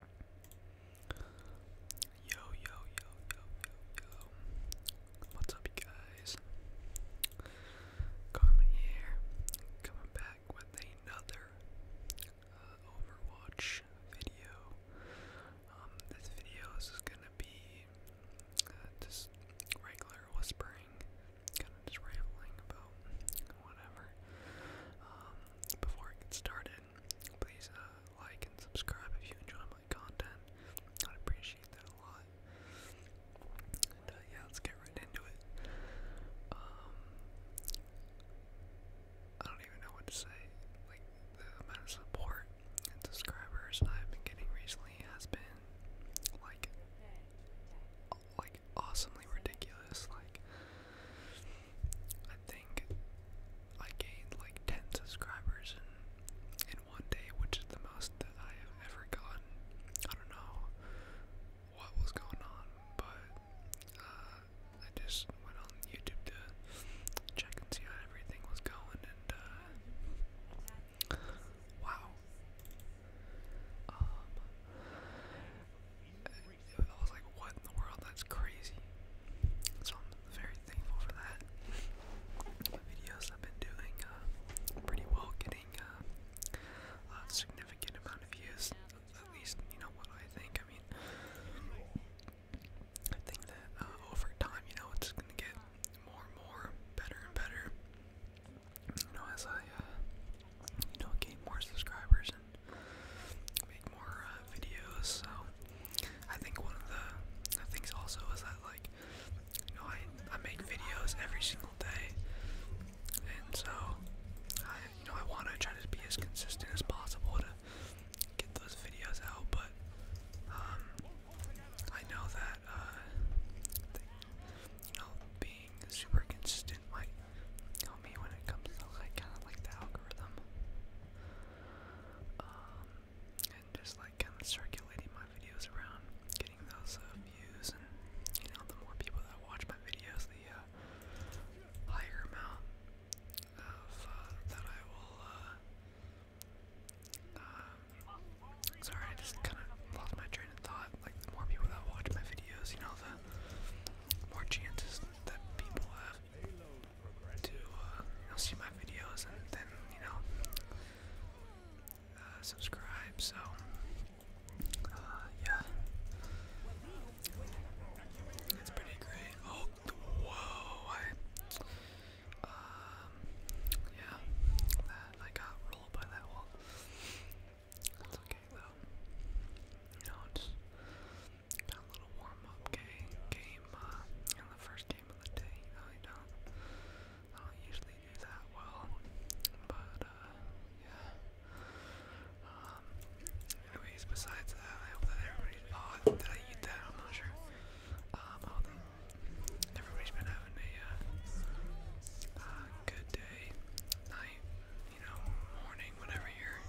Yo, yo, yo, yo, yo, What's up, you guys? Carmen here, coming back with another uh, Overwatch video. Um, this video is gonna be uh, just regular whispering, kind of just rambling about whatever. Um, before I get started, please uh, like and subscribe if you enjoy my content. I'd appreciate that a lot. And uh, yeah, let's get right into it. Um, I don't even know what to say. Like the amount of support and subscribers I've been getting recently has been like, like awesomely ridiculous. Like I think I gained like 10 subscribers in, in one day, which is the most that I have ever gotten. I don't know what was going on, but uh, I just went on YouTube to check and see how everything was going, and uh, wow. Um, I was like, what in the world? That's crazy. So I'm very thankful for that. My videos I've been doing uh, pretty well, getting uh, a significant amount of views. At least, you know what I think. I mean, I think that uh, over time, you know, it's gonna get more and more, better and better. You know, as I, you know, gain more subscribers make more uh, videos. So I think one of the things also is that like you know I I make videos every single day, and so I you know I want to try to be as consistent as possible to get those videos out, but um, I know that uh, you know being super consistent might on me when it comes to kind of like the algorithm. Um, and just like kind of circulating my videos around, getting those uh, views, and you know, the more people that watch my videos, the uh, higher amount of uh, that I will. Um, sorry, I just kind of lost my train of thought. Like the more people that watch my videos, you know, the more chances that people have to uh, see my videos and then you know uh, subscribe. So uh, yeah, it's pretty great. Oh, whoa! I um, yeah, that I got rolled by that wall. That's okay though. You know, it a little warm-up game, game uh, in the first game of the day. I don't, I don't usually do that well, but uh, yeah. Um, anyways, besides that, I hope that everybody. did oh, I eat that? I'm not sure. Um, everybody's been having a uh, good day, night, you know, morning, whenever you're,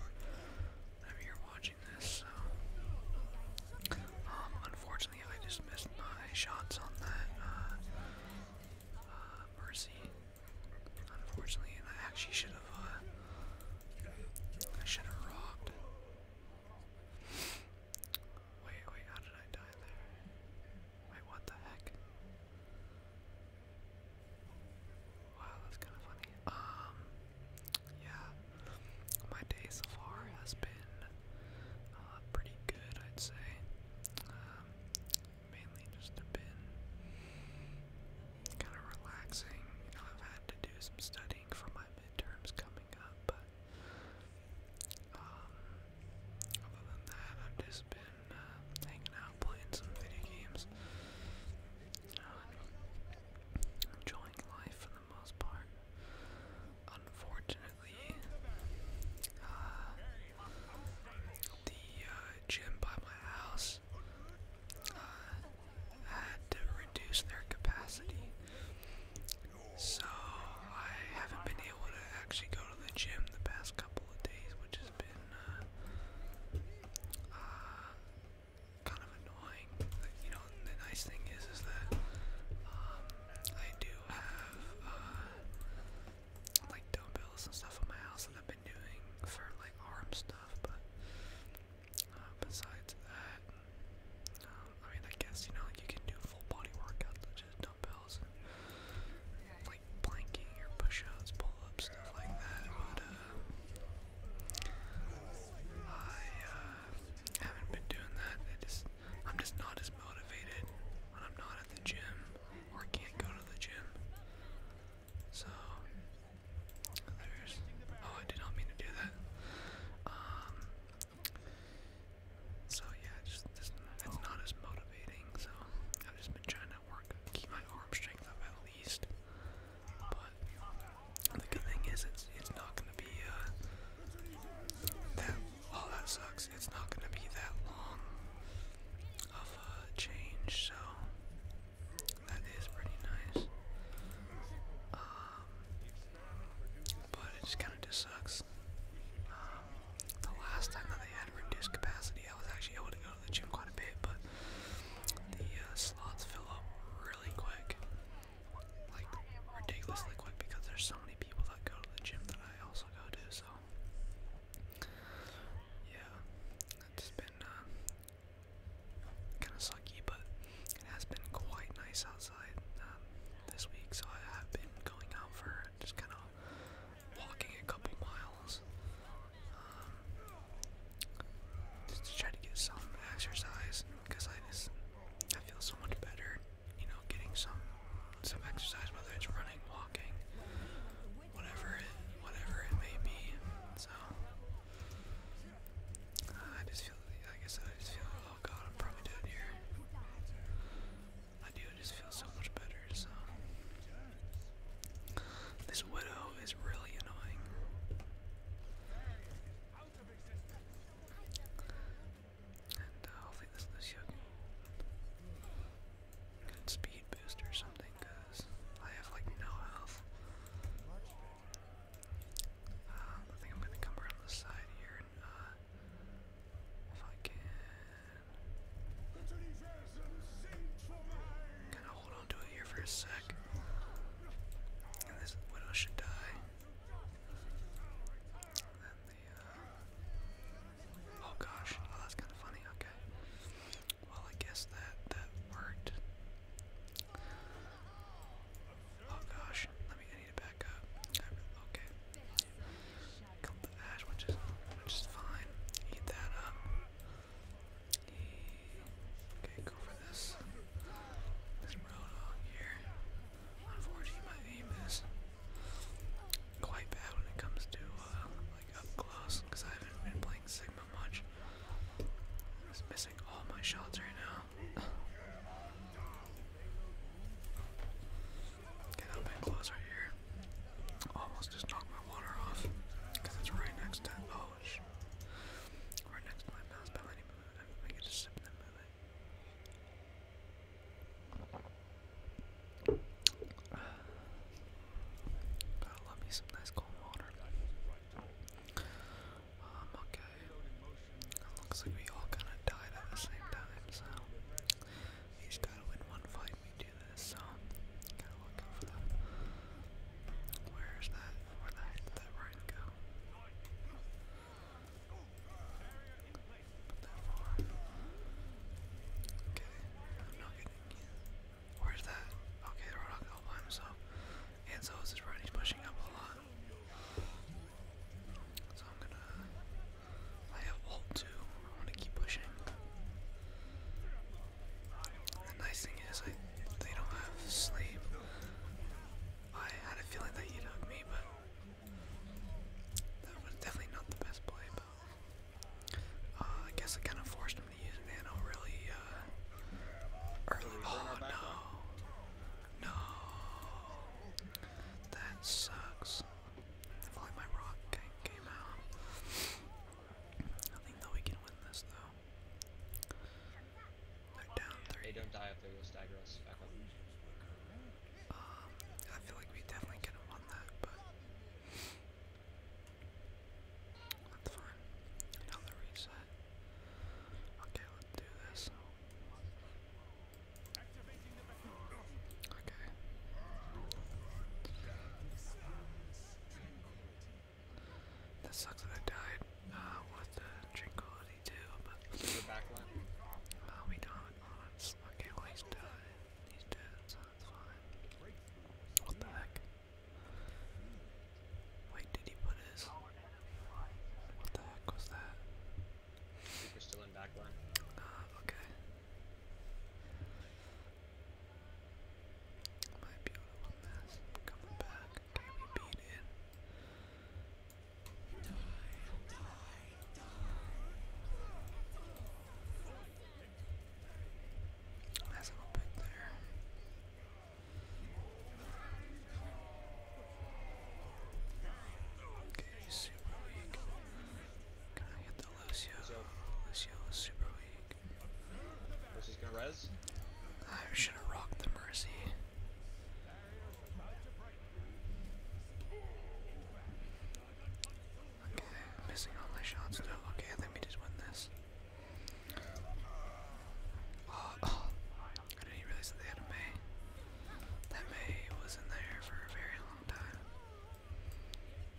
you're watching this, so, um, unfortunately I just missed my shots on that, uh, uh, Mercy, unfortunately, I actually should have, uh, I should have robbed. Wait, wait, how did I die there? Wait, what the heck? Wow, that's kind of funny. Um, yeah, my day so far has been uh, pretty good, I'd say. Um, mainly just have been kind of relaxing. You know, I've had to do some studying for my midterms coming up, but um, other than that, I've just been uh, hanging out, playing some video games, um, enjoying life for the most part. Unfortunately, uh, the uh, gym by my house uh, had to reduce their capacity, so I haven't been able to actually go to the gym the past couple of days, which has been uh, kind of annoying. You know, the nice thing is, is that um, I do have uh, like dumbbells and stuff in my house that I've been doing for like arm stuff, but uh, besides that, um, I mean, I guess you know, like you can do full body workouts with dumbbells like planking push-ups, pull-ups, stuff like that. But uh, I uh, haven't been doing that. I just, I'm just not as motivated when I'm not at the gym or can't go to the gym. So there's. Oh, I did not mean to do that. Um. So yeah, just, just not as motivating. So I've just been trying to work, keep my arm strength up at least. But the good thing is, it's it's not gonna be uh, that. Well, oh, that sucks. It's not gonna be that long of a change, so that is pretty nice. Um, but it just kind of just sucks. Um, the last time that they had reduced capacity, I was actually able to go to the gym quite a bit, but the uh, slots fill up really quick, like ridiculously quick, because there's so many people that go to the gym that I also go to. So yeah, it's been uh, kind of sucky, but it has been quite nice outside um, this week. So I have been going out for just kind of walking a couple miles um, just to to get some exercise because I just I feel so much better, you know, getting some some exercise whether it's running, walking, whatever whatever it may be. So I just feel like I said I just feel oh god I'm probably dead here. I do just feel so much better, so. This widow is really annoying. And uh, hopefully this Lucio can get speed boost or something, because I have like no health. Uh, I think I'm gonna come around the side here uh, if I can Kinda hold on to it here for a sec. And this should die. Uh, oh gosh, oh that's kinda funny, okay. Well I guess that, that worked. Oh gosh, let me, I need to back up. Okay. Killed the ash, which is which is fine. Eat that up. Okay, go for this. This Roadhog here. Unfortunately, my aim is quite bad when it comes to uh, like up close because I haven't been playing Sigma much. I'm just missing all my shots right now. Get out that glass here. Almost just knocked my water off because it's right next to oh shit. Right next to my mouse, but I need to sip and gotta love me some nice cold water. Um, okay. It looks like we all kind of died at the same time, so you just gotta win one fight when you do this, so gotta look out for that. Where's that? Where did that Ryan go? that far. Okay, I'm not getting in. Where's that? Okay, the Rodok all by himself. And so is his right, he's pushing up a lot. So I'm gonna I have ult too. I want to keep pushing. The nice thing is, I, they don't have sleep. I had a feeling that you would hug me, but that was definitely not the best play. But uh, I guess I kind of forced him to use nano really uh, early. Oh no, no, that sucks. If only my rock came out. I think that we can win this though. They're down three. They don't die if they go stagger us back up. Um, I feel like we definitely could have won that, but that's fine. Another reset. Okay, let's do this. Okay. That sucks that I died. Uh, what the tranquility do? But uh, we don't. Oh, okay, well he's dead. He's dead, so that's fine. What the heck? Wait, did he put his? What the heck was that? I are still in backline. Ah, uh, okay. Might be able to win this. Coming back. Okay, beat it. Die, a little bit there. Okay, super weak. Can I hit the Lucio. Lucio is super weak. Mercy's gonna rez. I should have rocked the Mercy. Okay, missing all my shots though. Okay, let me just win this. Oh, oh. I didn't realize that That May was in there for a very long time.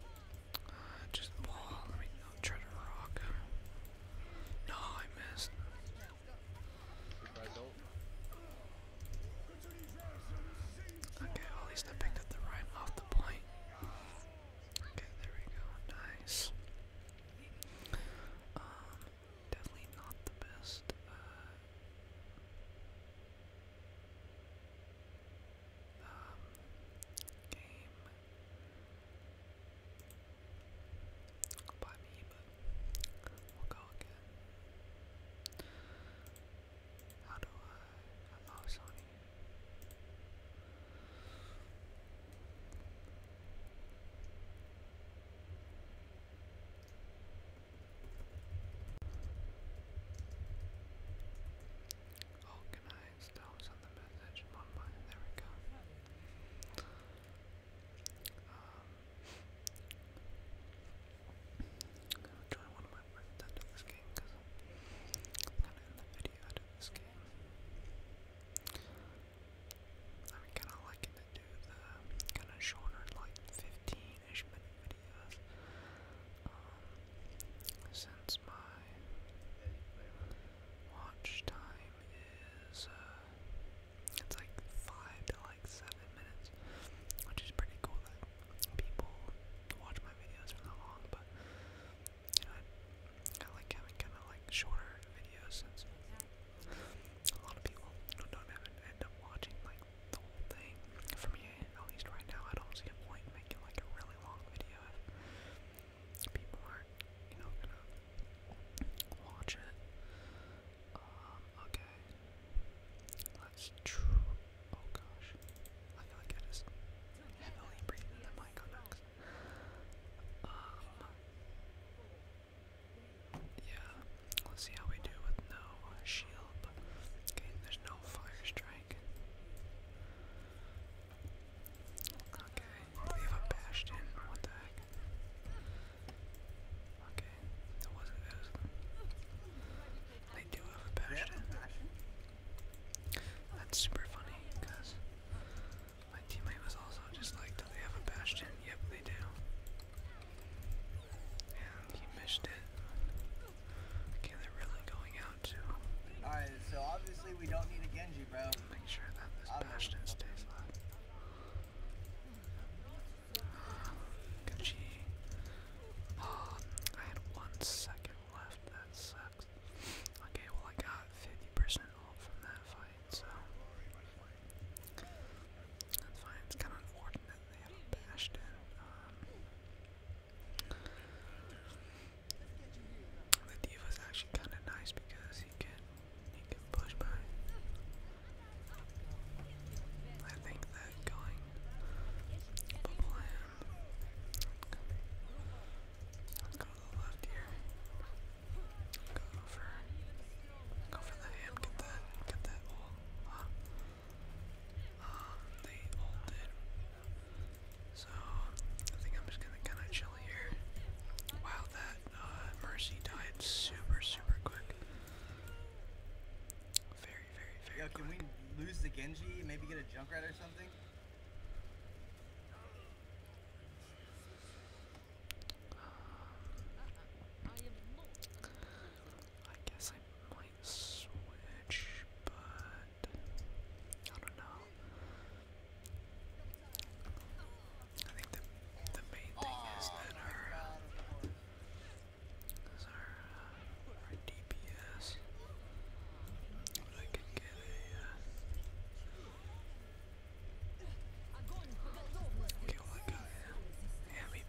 Uh, just ball. Let me i try to rock. No, I missed. Okay, at least I picked up the rhyme off the point. Okay, there we go. Nice. Um, definitely not the best. Uh, um, game by me, but we'll go again. How do I allow Sony? Oh, can I still send the message there we go. Um, I'm gonna join one of my friends into this game because I'm gonna end the video of this game. I mean, kind of liking to do the kind of shorter, like 15 Danish mini videos um, since my watch time is uh, it's like five to like seven minutes, which is pretty cool that people watch my videos for that long. But you know, I, I like having kind of like shorter videos since a lot of people you know, don't end up watching like like the whole thing. For me, at least right now, I don't see a point making like a really long video people are you know, gonna watch it. Um, okay. Let's Oh gosh. I feel like I just heavily breathe in the mic Um. Yeah. Let's see how we do with no shield. Okay, there's no fire strike. Okay, we have a bastion. What the heck? Okay, that wasn't They do have a bastion. That's super funny because my teammate was also just like, do they have a bastion? Yep, they do. And he missed it. Okay, they're really going out too. Alright, so obviously we don't need a Genji, bro. Make sure that this bastion stays alive. Genji. Oh, I had one second left. That sucks. Okay, well I got 50% from that fight, so that's fine. It's kind of unfortunate and then they actually kind of nice because you can he can push back. I think that going go left here. Go for go for the ham. Get that. Get that. So I think I'm just gonna kind of chill here. Wow, that uh, Mercy died super, super quick. Very, very, very. Yo, can we lose the Genji? Maybe get a jump right or something? Uh, uh, I guess I might switch, but I don't know. I think the the main thing is that our our uh, DPS. I could get a. Uh, Okay, well,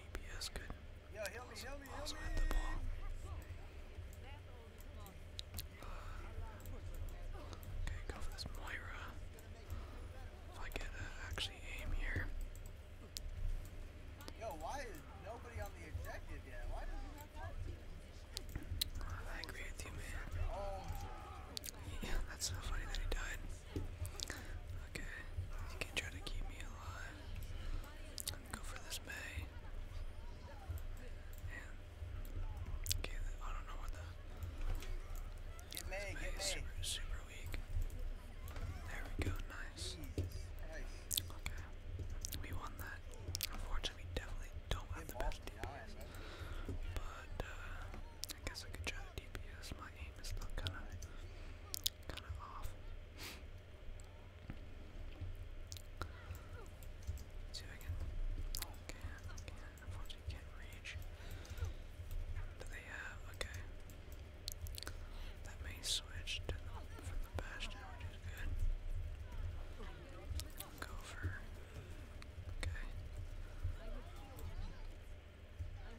DPS could Yo, help me, help me, the ball. Okay, go for this Moira. If I could uh, actually aim here. I agree with you, man. Yeah, oh. that's so funny that he died. Okay, you can try to keep me alive. I'm gonna go for this May. okay, I don't know what the get May, is super super weak. There we go, nice. Okay, we won that. Unfortunately, we definitely don't have the best DPS, but uh, I guess I could try the DPS. My aim is not kind of kind of off. Let's I can. Oh, reach. Okay. That may switch to the, from the bastion, good. Go for. Okay. Uh,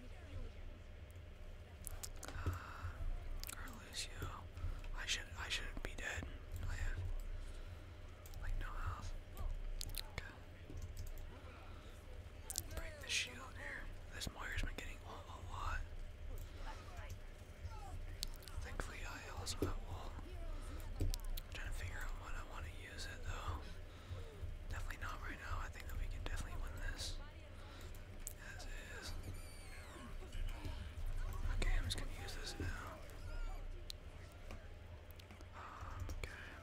I should I should be dead. Oh, like no health. Okay. Break the shield here. This Moir's been getting all a lot. Thankfully I also have wall. trying to figure out when I want to use it though. Definitely not right now. I think that we can definitely win this. As is. Okay, I'm just gonna use this now. Um, okay.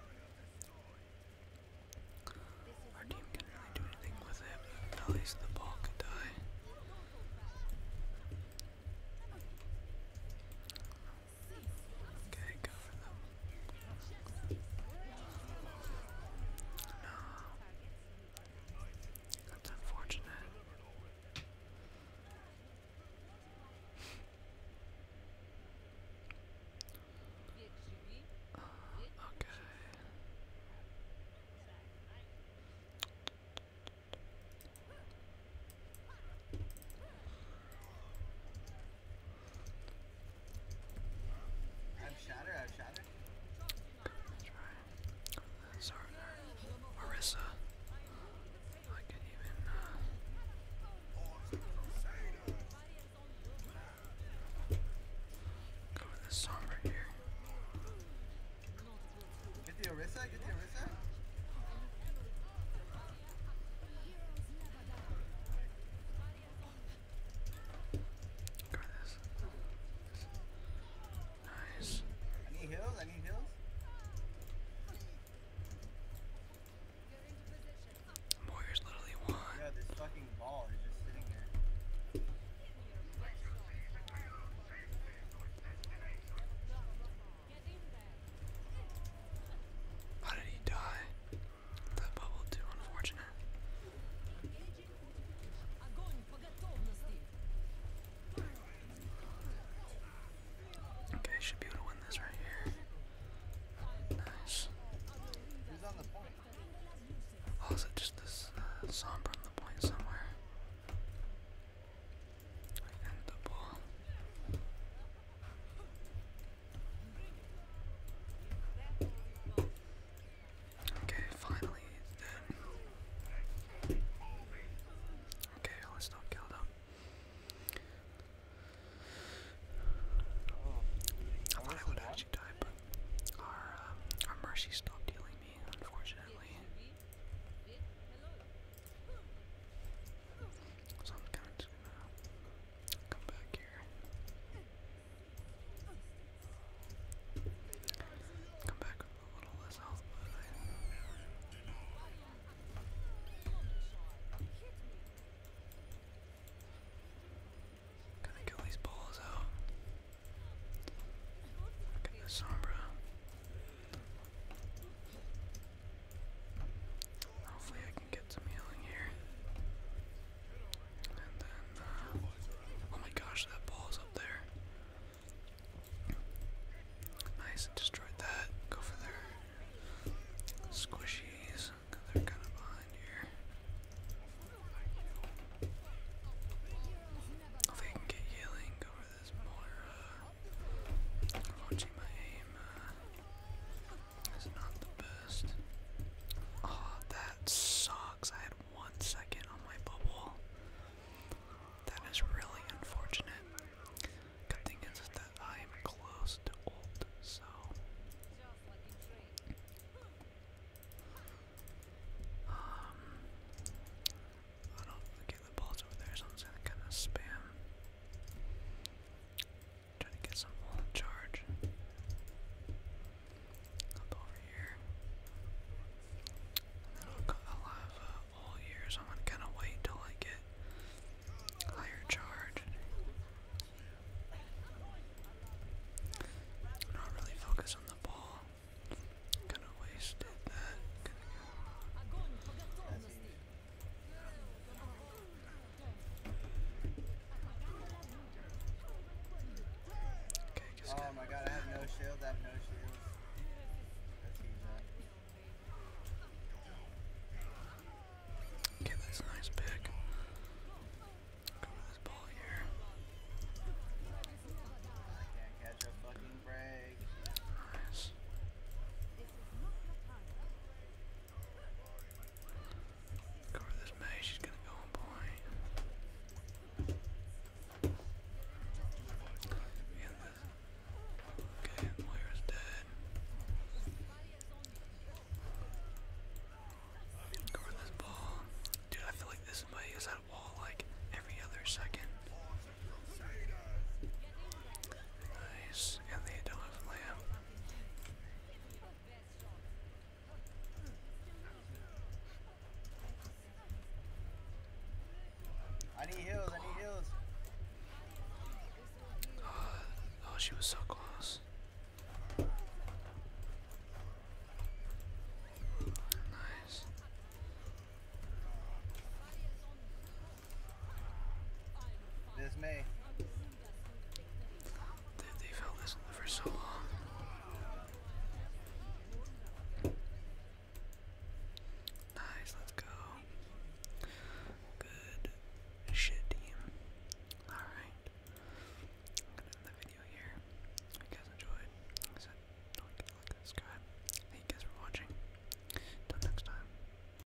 Our team could really do anything with it, at least the ball could die. Okay, go for the no. That's unfortunate. Uh, okay. Outshot her, outshot her. That's right. Zarner. Marissa. I can even, uh... Go with this song right here. Get the Orisa, get the Orisa. Try this. Nice. I need heals, I need heals. Warriors literally won. How did he die? The bubble too unfortunate. Okay, should be able to win this right here. Nice. Who's Oh, is it just this uh, Sombra the point somewhere? end the ball. Okay, finally then. Okay, let's not kill them. I thought I would actually die, but our, um, our mercy stopped healing me, unfortunately. Come back here. Come back with a little less health, but to kill these balls out. Look at this sombra. Hopefully I can get some healing here. And then, uh, oh my gosh, that ball's up there. Nice, destroyed that. Go for their squishies. They're kind of behind here. Hopefully I can get healing. Go for this more, watching my aim. Uh, Oh, that sucks. I had one second on my bubble. That is really unfortunate. Good thing is that I am close to old, so. Um, I don't. Okay, the ball's over there, so kind of spam. Try to get some full charge. Up over here. I'll have uh, all year, so I'm gonna kind of wait till I get higher charge. Not really focus on the ball. Kind of wasted that. Okay, oh my god, I have no shield, I have no shield. Okay, that's a nice pick. Go with this ball here. I can't catch a fucking break. Nice. Go this mage, she's gonna go on point. Okay, Moira's dead. Go this ball. Dude, I feel like this might is at a wall like every other second. Nice, and they don't have lamp. I need heals, I need heals. Oh, she was so close. Nice. This May. They've held this for so long. Nice, let's go. Good shit, team. Alright. I'm gonna end the video here. If you guys enjoyed, don't forget to like and subscribe. Thank you guys for watching. Until next time.